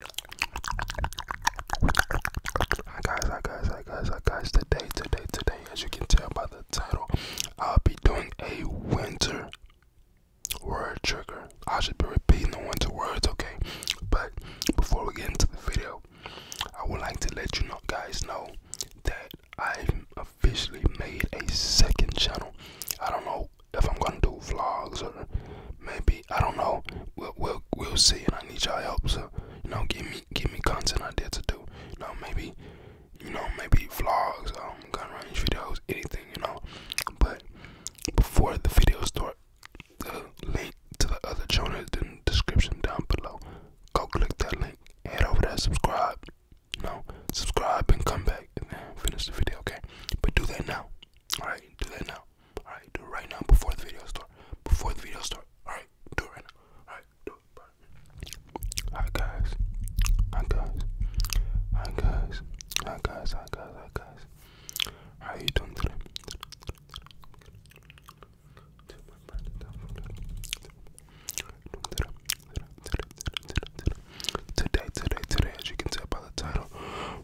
Hi guys, guys, guys, guys. Today, today, today, as you can tell by the title, I'll be doing a winter word trigger. I should be repeating the winter words, okay? But before we get into the video, I would like to let you know, guys know that I've officially made a second channel. I don't know if I'm gonna do vlogs or maybe I don't know. We'll we'll see, and I need y'all help. So you know, give me give me content idea to do. You know, maybe you know maybe vlogs, um, gun range videos, anything. You know, but before the video start, the link to the other channel is in the description down below. Go click that link, head over there, subscribe. You know, subscribe and come back and finish the video. Okay, but do that now. All right, do that now. Alright, do it right now before the video starts. Before the video starts. Alright, do it right now. Alright, do it. Alright, guys. Hi, guys. Hi, guys. Hi, guys. Hi, guys. Hi, guys. How are you doing today? Today, today, today, as you can tell by the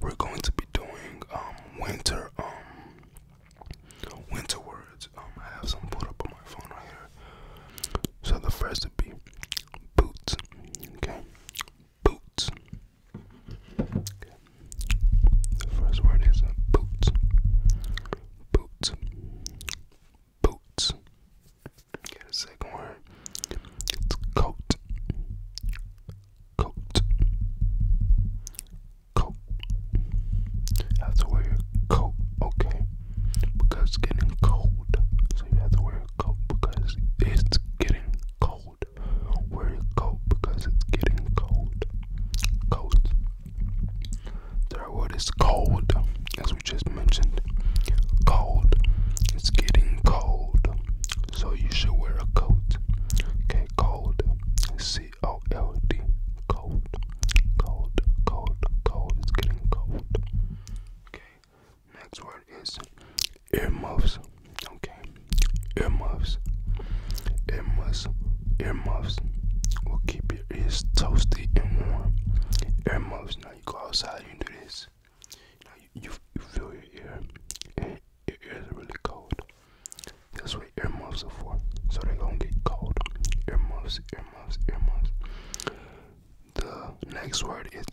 we're going to be doing um, winter um, winter words. Um, I have some put up on my phone right here. So the first would be boots. Okay, boots. Okay. The first word is uh, boots. Boots. Boots. Get okay, a second word. It's coat coat. Coat. have to wear your coat, okay? Because it's getting cold. So you have to wear a coat because it's getting cold. Wear your coat because it's getting cold. Cold. Their word cold, as we just mentioned. Cold. It's getting cold so you should wear a coat. Okay, cold. C O L D. Cold. Cold. Cold. Cold. It's getting cold. Okay. Next word is earmuffs. Okay. Earmuffs. Earmuffs. Earmuffs. Will keep your ears toasty and warm. Earmuffs. Now you go outside, you do this. Now you, you, feel your ear, and really cold. That's what ear muffs are for. So they're gonna get cold. Ear muffs, ear muffs, ear muffs. The next word is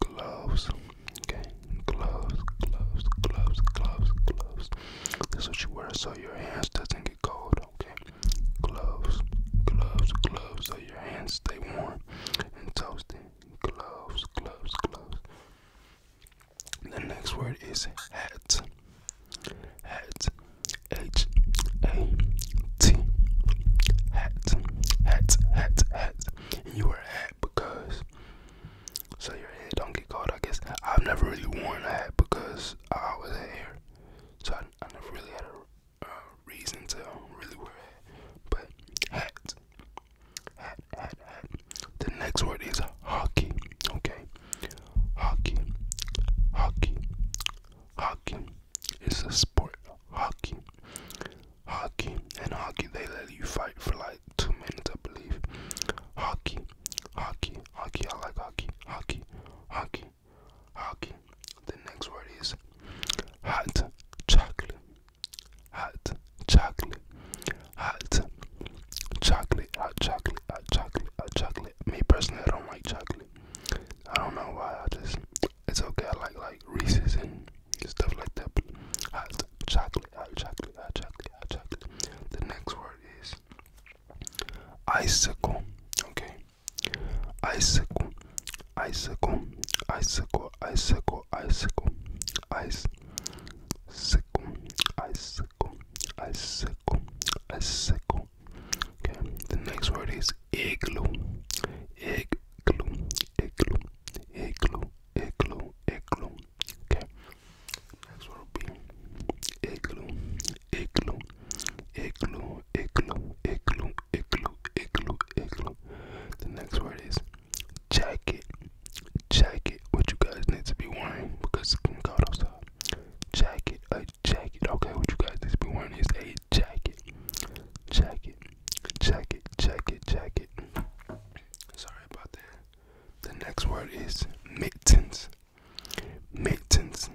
gloves. Okay, gloves, gloves, gloves, gloves, gloves. That's what you wear so your hands doesn't get cold. Okay, gloves, gloves, gloves, so your hands stay warm and toasty gloves, gloves, gloves. The next word is hat. Hat. H A T. Hat. Hat. Hat. Hat. And you wear a hat because so your head don't get cold. I guess I've never really worn a hat because I always had hair, so I, I never really had a uh, reason to really wear a hat. But hat. The next word is hockey. Okay. Hockey. Hockey. Hockey. It's a sport. Hockey. Hockey. And hockey they let you fight for like two minutes, I believe. Hockey. Hockey. Hockey. I like hockey. Hockey. Hockey. Hockey. The next word is hot chocolate hot chocolate, hot chocolate, hot chocolate, hot chocolate, hot chocolate. Me personally, I don't like chocolate. I don't know why. I just it's okay. I like like Reese's and stuff like that. But hot chocolate, hot chocolate, hot chocolate, hot chocolate. The next word is icicle. Okay, icicle icicle, icicle, icicle, icicle, ice, sickle, icicle, icicle, icicle. Okay, the next word is igloo, igloo, igloo, igloo, igloo, igloo. Okay, next word will be igloo, igloo, igloo, igloo, igloo, igloo, igloo, igloo. The next word is jacket, jacket, what you guys need to be wearing because it's getting cold outside. Jacket, a jacket, okay, what you guys need to be wearing is a jacket, jacket, jacket, jacket, jacket. Sorry about that. The next word is mittens, mittens,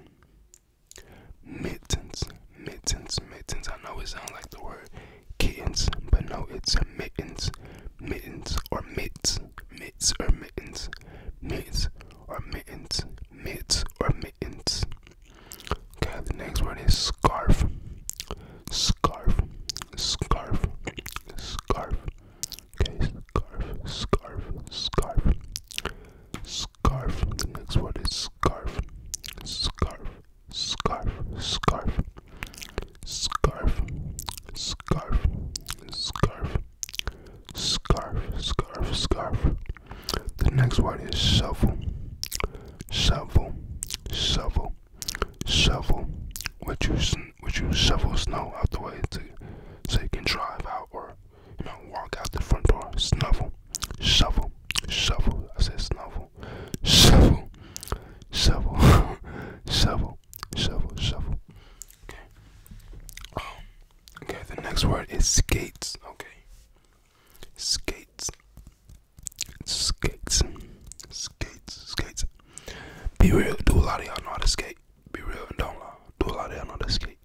mittens, mittens, mittens. I know it sounds like the word kittens, but no, it's mittens, mittens or mitts, mitts or mittens, mitts or mittens, mitts or mittens. Okay, the next word is scarf, scarf, scarf, scarf. Okay, scarf, scarf, scarf, scarf. The next word is scarf, scarf, scarf, scarf, scarf, scarf, scarf, scarf, scarf, scarf. The next word is shovel, shovel, shovel, shovel. What you what you shovel snow out the way to so you can drive out or you know walk out the front door. Snuffle, shovel, shovel. I said snovel, shovel, shovel, shovel, shovel, shovel. Okay. Oh, okay. The next word is skates. Okay. Skates, skates, skates, skates. Be real. Do a lot of y'all know how to skate. Be real and don't lie. Do a lot of y'all know how to skate.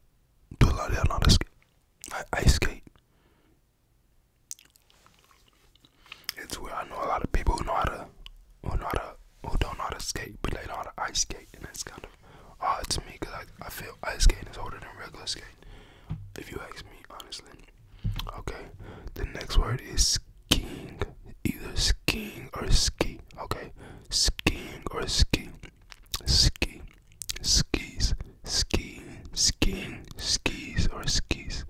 Do a lot of y'all know how to skate. I, I skate. It's where I know a lot of people who know how to, who know how to, who don't know how to skate, but they know how to ice skate, and that's kind of odd to me because I, I feel ice skating is harder than regular skating. If you ask me honestly. Okay. The next word is skiing. Either skiing or ski. Okay. Skiing or ski. Ski. Skis. Skiing, skiing, skis or skis.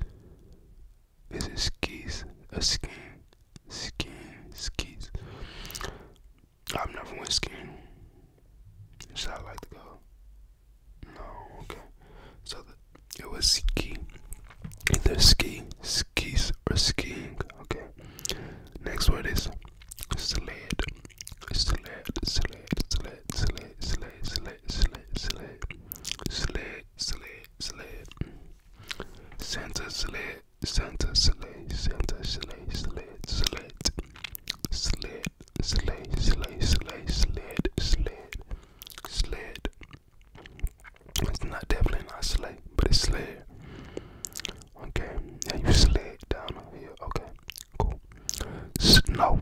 Is it skis? A skiing, skiing, skis. I've never went skiing. Should I like to go? No, okay. So the, it was ski. Either ski, skis, or skiing. Okay. Next word is sled. Sled, sled, sled, sled, sled, sled, sled, slit, slit, slit, slit, slit, slit, center slit, center slit, center slit, slit, slit, slit, slit, slit, slit, slit, slit, slit. It's not definitely not slit, but it's slit. Okay, now you slid down here. Okay, cool. Snow,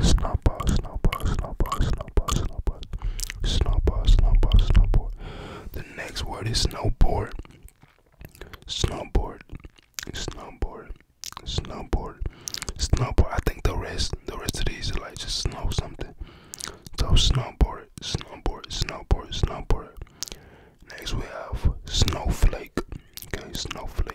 Snowball, snowball, snowball, snowball, snowball, snowball, snowball, snowboard. The next word is snowboard. Snowboard, snowboard, snowboard, snowboard. I think the rest, the rest of these are like just snow something. So snowboard, snowboard, snowboard, snowboard. Next we have snowflake. Okay, snowflake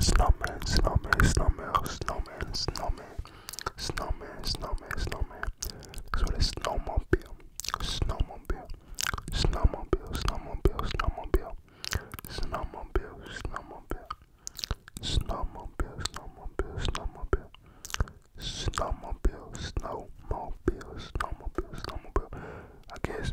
Snowman, snowman, snowman, snowman, snowman, snowman, snowman, snowman. So the snowmobile, snowmobile, snowmobile, snowmobile, snowmobile, snowmobile, snowmobile, snowmobile, snowmobile, snowmobile, snowmobile, snowmobile, snowmobile, snowmobile. I guess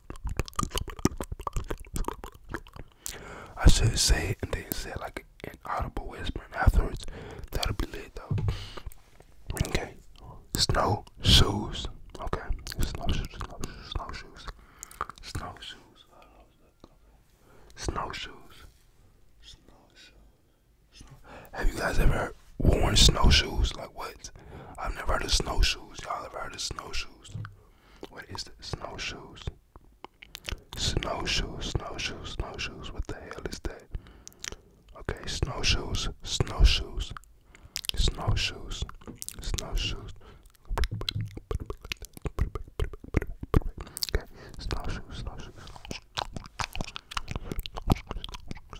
I should say it and then said like an audible whisper afterwards. That'll be lit though. Okay. Snow shoes. Okay. Snow shoes. Snow shoes. Snow shoes. Snow shoes. Have you guys ever worn snow shoes? Like what? I've never heard of snow shoes. Y'all ever heard of snow shoes snowshoes. What is this? Snowshoes. Snowshoes, snowshoes, snowshoes. What the hell is that? Okay, snowshoes, snowshoes, snowshoes, snowshoes. Okay, snowshoes,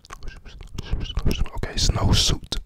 snowshoes. Okay, snowsuit.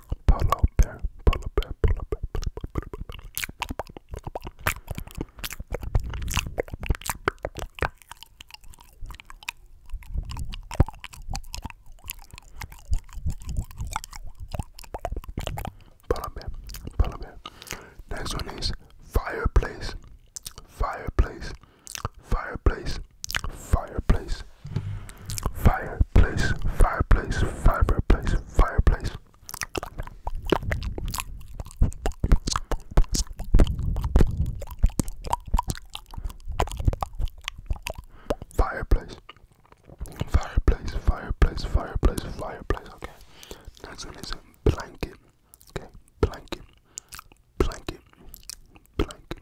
Polar bear, polar bear, polar bear, polar bear, polar bear. Next one is fireplace, fireplace, fireplace, fireplace, Fireplace, fireplace, fireplace, fireplace. Fireplace, fireplace, fireplace, fireplace, fireplace. Okay, next one is a blanket. Okay, blanket, blanket, blanket,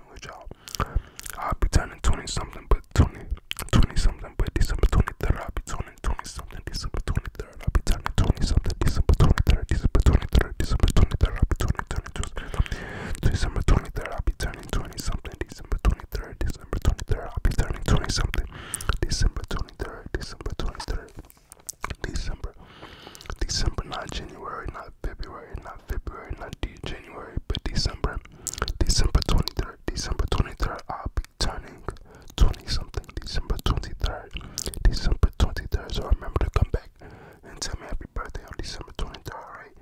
with y'all. I'll be turning 20 something, but 20, 20 something, but December 23rd, I'll be turning 20 something, December 23rd, I'll be turning 20 something, December 23rd, December 23rd, December 23rd, I'll be turning 22 December 23rd, I'll be turning 20 something, December 23rd, December 23rd, I'll be turning 20 something, December 23rd, December 23rd, December, December, not January, not February, not not February, not January, but December. December 23rd. December 23rd, I'll be turning 20 something. December 23rd. December 23rd. So remember to come back and tell me happy birthday on December 23rd, alright?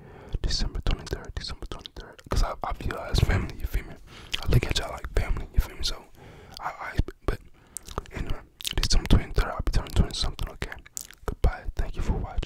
December 23rd, December 23rd. Because I, feel as family, you feel me? I look at y'all like family, you feel me? So, I, I but anyway, December 23rd, I'll be turning 20 something, okay? Goodbye. Thank you for watching.